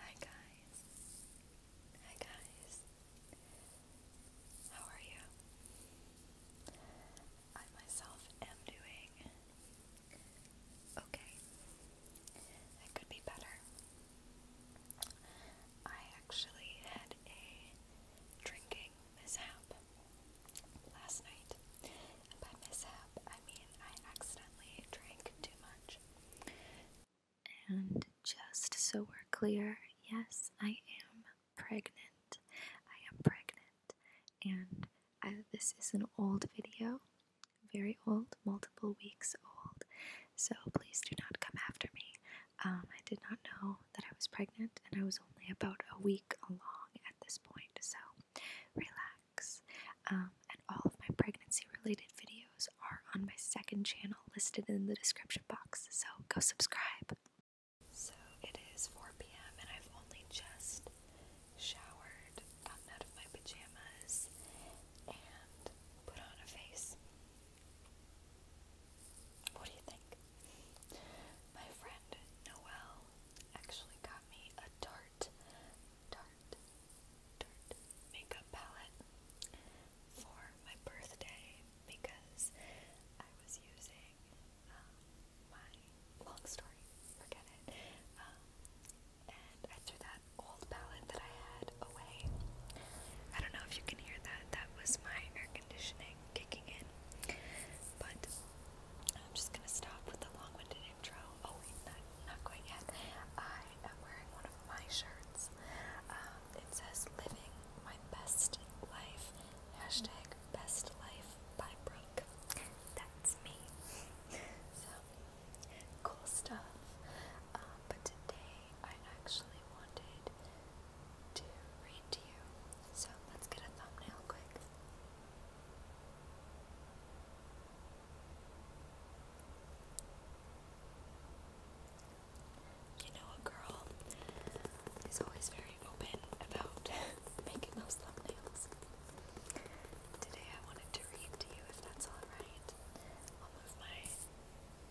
Hi guys. Hi guys. How are you? I myself am doing okay. It could be better. I actually had a drinking mishap last night. And by mishap, I mean I accidentally drank too much. And just so we're clear, yes, I am pregnant. I am pregnant. And this is an old video, very old, multiple weeks old. So please do not come after me. Um, I did not know that I was pregnant, and I was only about a week along at this point. So relax. Um, and all of my pregnancy related videos are on my second channel listed in the description box, so go subscribe. So it is 4 p.m., and I've only just showered, gotten out of my pajamas, and put on a face. What do you think? My friend Noelle actually got me a Tarte, Tarte, makeup palette for my birthday because I was using um, my long story, forget it, um, and I threw that old palette that I had away. I don't know if you can hear that, that was my air conditioning kicking in, but I'm just gonna stop with the long winded intro. Oh, wait, not, not quite yet. I I am wearing one of my shirts. Um, it says "Living My Best Life" hashtag That's me. So cool stuff. Um, but today I actually wanted to read to you. So let's get a thumbnail quick. You know, a girl is always very open about making those thumbnails. Today I wanted to read to you, if that's alright. I'll move my,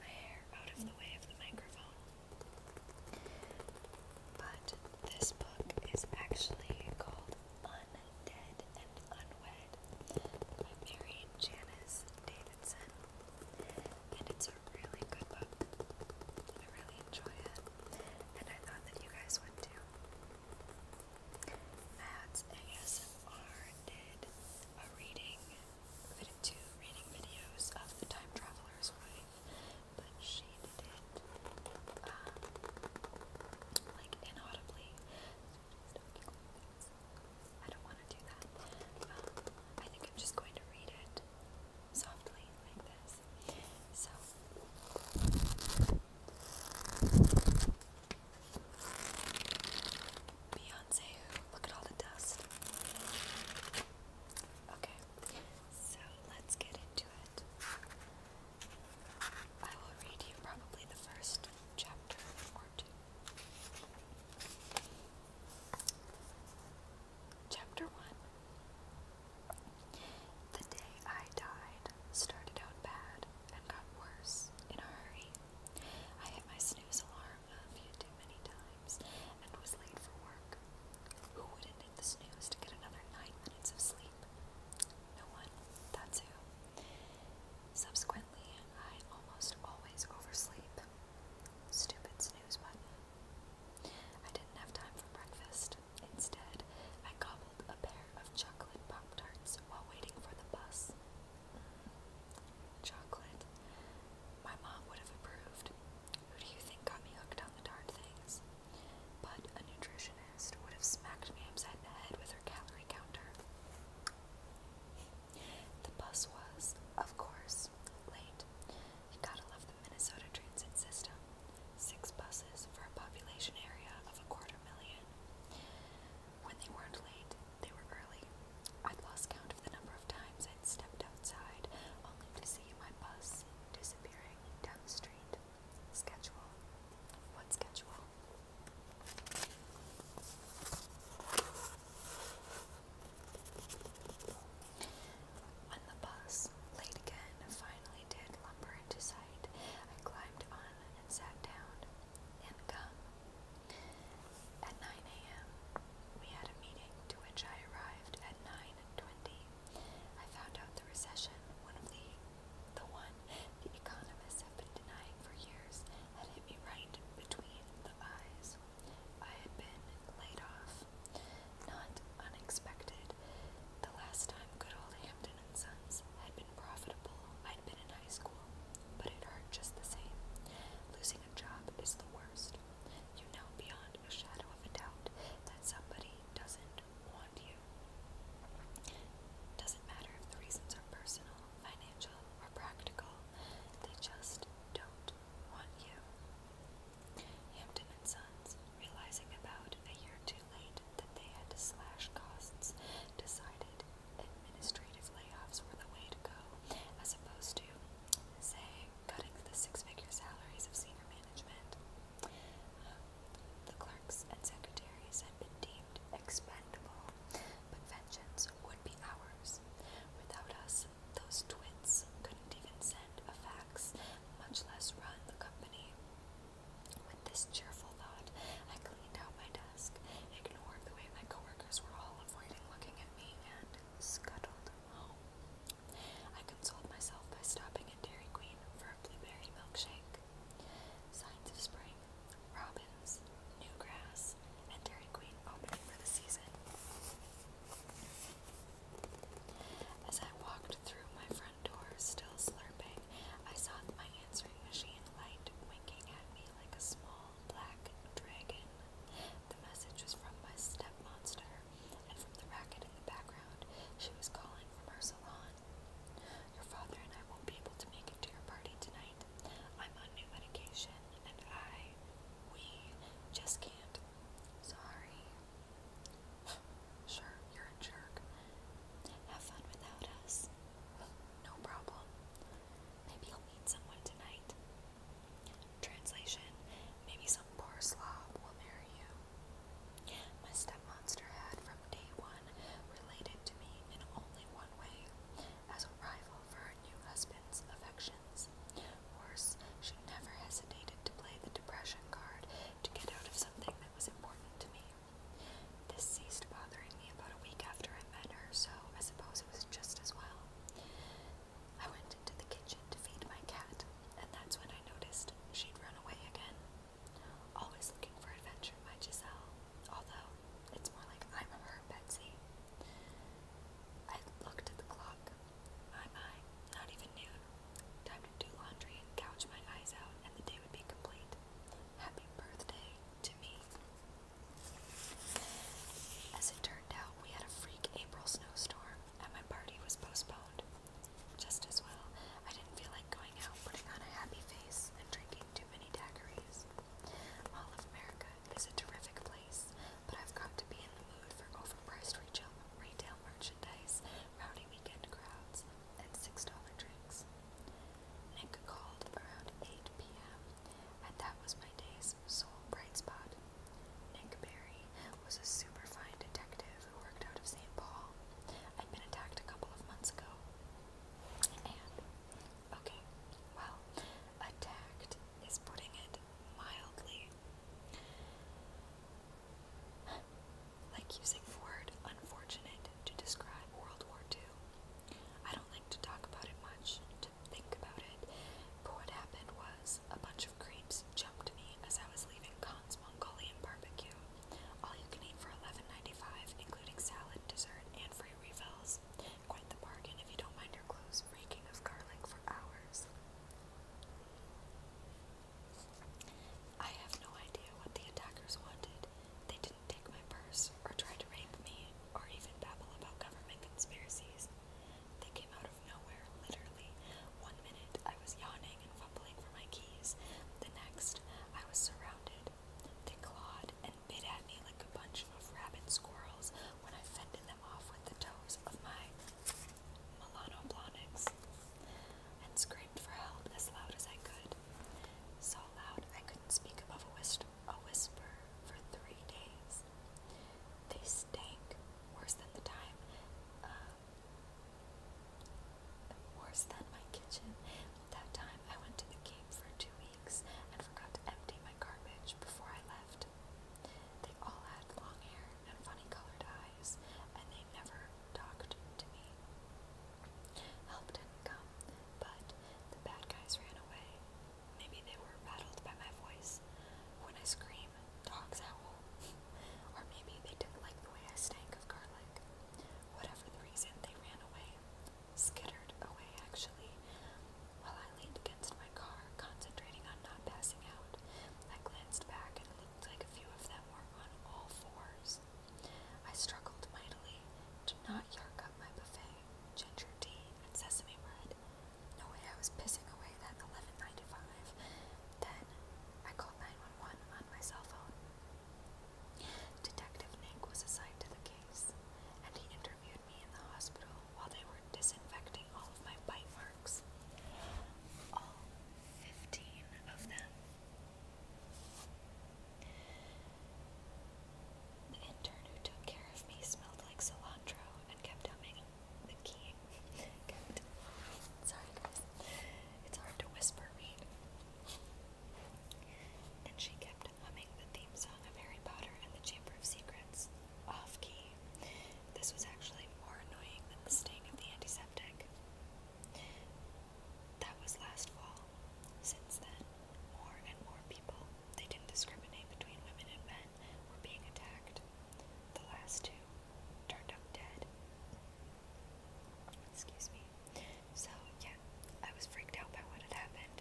my hair out of the way of the microphone. But this book is actually called Un Dead and Unwed by Mary Janice Davidson. And it's a really good book. I really enjoy it. And I thought that you guys would too. That's ASMR did a reading, two reading videos of The Time Traveler's Wife, but she did it um, like inaudibly. I don't want to do that. Um, I think I'm just going to read it softly like this. So. Beyonce, Look at all the dust. Okay, so let's get into it. I will read you probably the first chapter or Chapter 1 The day I died started out bad and got worse in a hurry. I hit my snooze alarm a few too many times and was late for work. Who wouldn't hit the snooze to get another nine of sleep? No one, that's who. Subsequently, I almost always oversleep. Stupid snooze button. I didn't have time for breakfast. Instead, I gobbled a pair of chocolate Pop Tarts while waiting for the bus. chocolate. My mom would have approved. Who do you think got me hooked on the tart things? But a nutritionist would have smacked me upside the head with her calorie counter. The bus was, of course, late. You gotta love the Minnesota transit system. Six buses for a population area of a quarter million. When they weren't late, they were early. I'd lost count of the number of times I'd stepped outside only to see my bus disappearing down the street. Schedule. What schedule? When the bus, late again, finally did lumber into sight, I climbed on and sat down. And come. At 9 a.m., we had a meeting to which I arrived at 9.20. I found out the recession, one of the the one the economists have been denying for years had hit me right between the eyes. I had been laid off. Not unexpected. The last time good old Hampton and Sons had been profitable, I'd been in high school. But it hurt just the same. Losing a job is the worst. You know beyond a shadow of a doubt that somebody doesn't want you. Doesn't matter if the reasons are personal financial, or practical. They just don't want you. Hampton and Sons, realizing about a year too late that they had to slash costs, decided administrative layoffs were the way to go, as opposed to, say, cutting the six-figure salaries of senior management. Uh, the clerks and secretaries had been deemed expendable but vengeance would be ours. Without us, those twits couldn't even send a fax, much less run the company. With this cheerful thought, I cleaned out my desk, ignored the way my coworkers were all avoiding looking at me, and scuttled home. I consoled myself by stopping at Dairy Queen for a blueberry milkshake. Signs of spring, robins, new grass, and Dairy Queen opening for the season. As I walked through my front door, still slurping, I saw my answering machine light winking at me like a small black dragon. The message was from my step and from the racket in the background, she was calling from her salon. Your father and I won't be able to make it to your party tonight. I'm on new medication and I, we just can't. Sorry. sure, you're a jerk. Have fun without us. No problem. Maybe you'll meet someone tonight. Translation Maybe some poor slob will marry you. My stepmonster had from day one related to me in only one way as a rival for her new husband's affections. Worse, she never hesitated to play the depression card to get out of something that was important to me. This ceased bothering me about a week after I met her, so I suppose it was just as well. I went into the kitchen to feed my cat, and that's when I noticed she'd run away again. Always looking for adventure, my Giselle, although it's more like I'm her Betsy. I looked at the clock. My my, not even noon. Time to do laundry and couch my eyes out, and the day would be complete. Happy birthday to me. As it turned out, we had a freak April snowstorm, and my party was postponed. Just as well, I didn't feel like going out putting on a happy face and drinking too many daiquiris. All of America is a terrific place, but I've got to be in the mood for overpriced retail, retail merchandise, rowdy weekend crowds, and $6 drinks. Nick called around 8 p.m., and that was my day's sole bright spot. Nick Barry was a superfine detective who worked out of St. Paul. I'd been attacked a couple of months ago, and Okay, well, attacked is putting it mildly. Like using the word unfortunate to describe World War II. I don't like to talk about it much, to think about it, what happened was a bunch of creeps jumped me as I was leaving Khan's Mongolian barbecue. All you can eat for 11 including salad, dessert, and free Quite the bargain if you don't mind your clothes reeking of garlic for hours. I have no idea what the attackers wanted. They didn't take my purse, or try to rape me, or even babble about government conspiracies. They came out of nowhere, literally. One minute I was yawning and fumbling for my keys, the next I was surrounded. They clawed and and bit at me like a bunch of rabid squirrels when I fended them off with the toes of my melanoblonics and screamed for help as loud as I could. So loud I couldn't speak above a, whis a whisper for three days. They stank worse than the time. Uh, worse than my kitchen. That time I went to the Cape for two weeks and forgot to empty my garbage before I left. They all had long hair and funny colored eyes, and they never talked to me. Help didn't come, but the bad guys ran away. Maybe they were rattled by my voice. When I scream, dogs howl. or maybe they didn't like the way I stank of garlic. Whatever the reason, they ran away skittered away, actually. While I leaned against my car, concentrating on not passing out, I glanced back and looked like a few of them were on all fours. I struggled mightily to not yark up my buffet, ginger tea, and sesame bread. No way I was pissing away that $11.95. Then I called 911 on my cell phone. Detective Nick was assigned to the case, and he interviewed me in the hospital while they were disinfecting all of my bite marks. All 15 of them. The intern who took care of me smelled like cilantro and kept humming the key. Sorry, It's hard to whisper read. And she kept humming the theme song of Harry Potter and the Chamber of Secrets off key. This was actually more annoying than the sting of the antiseptic. That was last fall. Since then, more and more people, they didn't discriminate between women and men, were being attacked. The last two turned up dead. Excuse me. So, yeah, I was freaked out by what had happened,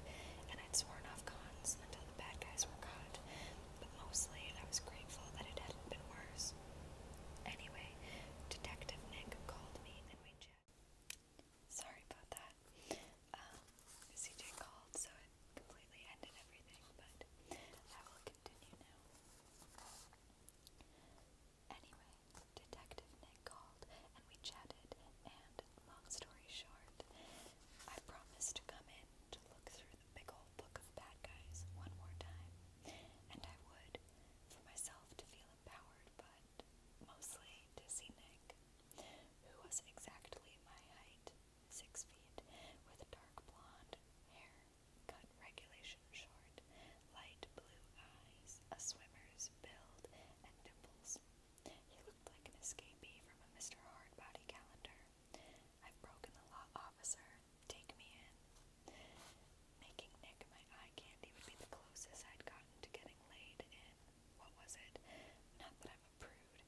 and I'd sworn off cons until the bad guys were caught, but mostly I was grateful that it hadn't been worse. Anyway, Detective Nick called me and we chatted. Sorry about that. Um, CJ called, so it completely ended everything, but I will continue now. Anyway, Detective Nick called and we chatted, and long story short, I promised to come in to look through the big old book of bad guys one more time, and I would for myself to feel empowered, but mostly to see Nick, who was exactly my height six feet, with dark blonde hair cut regulation short, light blue eyes, a swimmer's build, and dimples. He looked like an escapee from a Mr. Hardbody calendar. I've broken the law, officer. Take me in. Making Nick my eye candy would be the closest I'd gotten to getting laid in. What was it? Not that I'm a prude.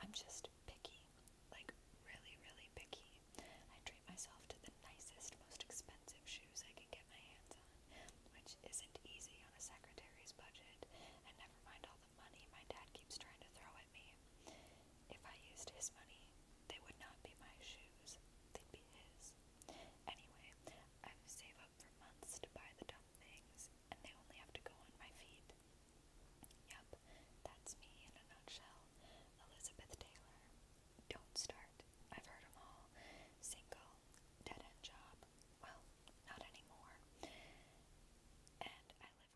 I'm just picky. Like, really, really picky. I treat myself to the nicest, most expensive shoes I can get my hands which isn't easy on a secretary's budget, and never mind all the money my dad keeps trying to throw at me. If I used his money, they would not be my shoes, they'd be his. Anyway, I would save up for months to buy the dumb things, and they only have to go on my feet. Yep, that's me in a nutshell, Elizabeth Taylor. Don't start. I've heard them all. Single, dead end job, well, not anymore. And I live with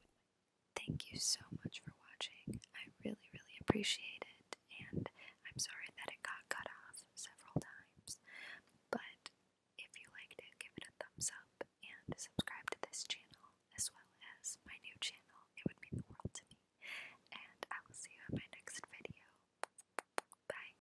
Thank you so much for watching. I really, really appreciate it. And I'm sorry that it got cut off several times. But if you liked it, give it a thumbs up and subscribe to this channel as well as my new channel. It would mean the world to me. And I will see you in my next video. Bye.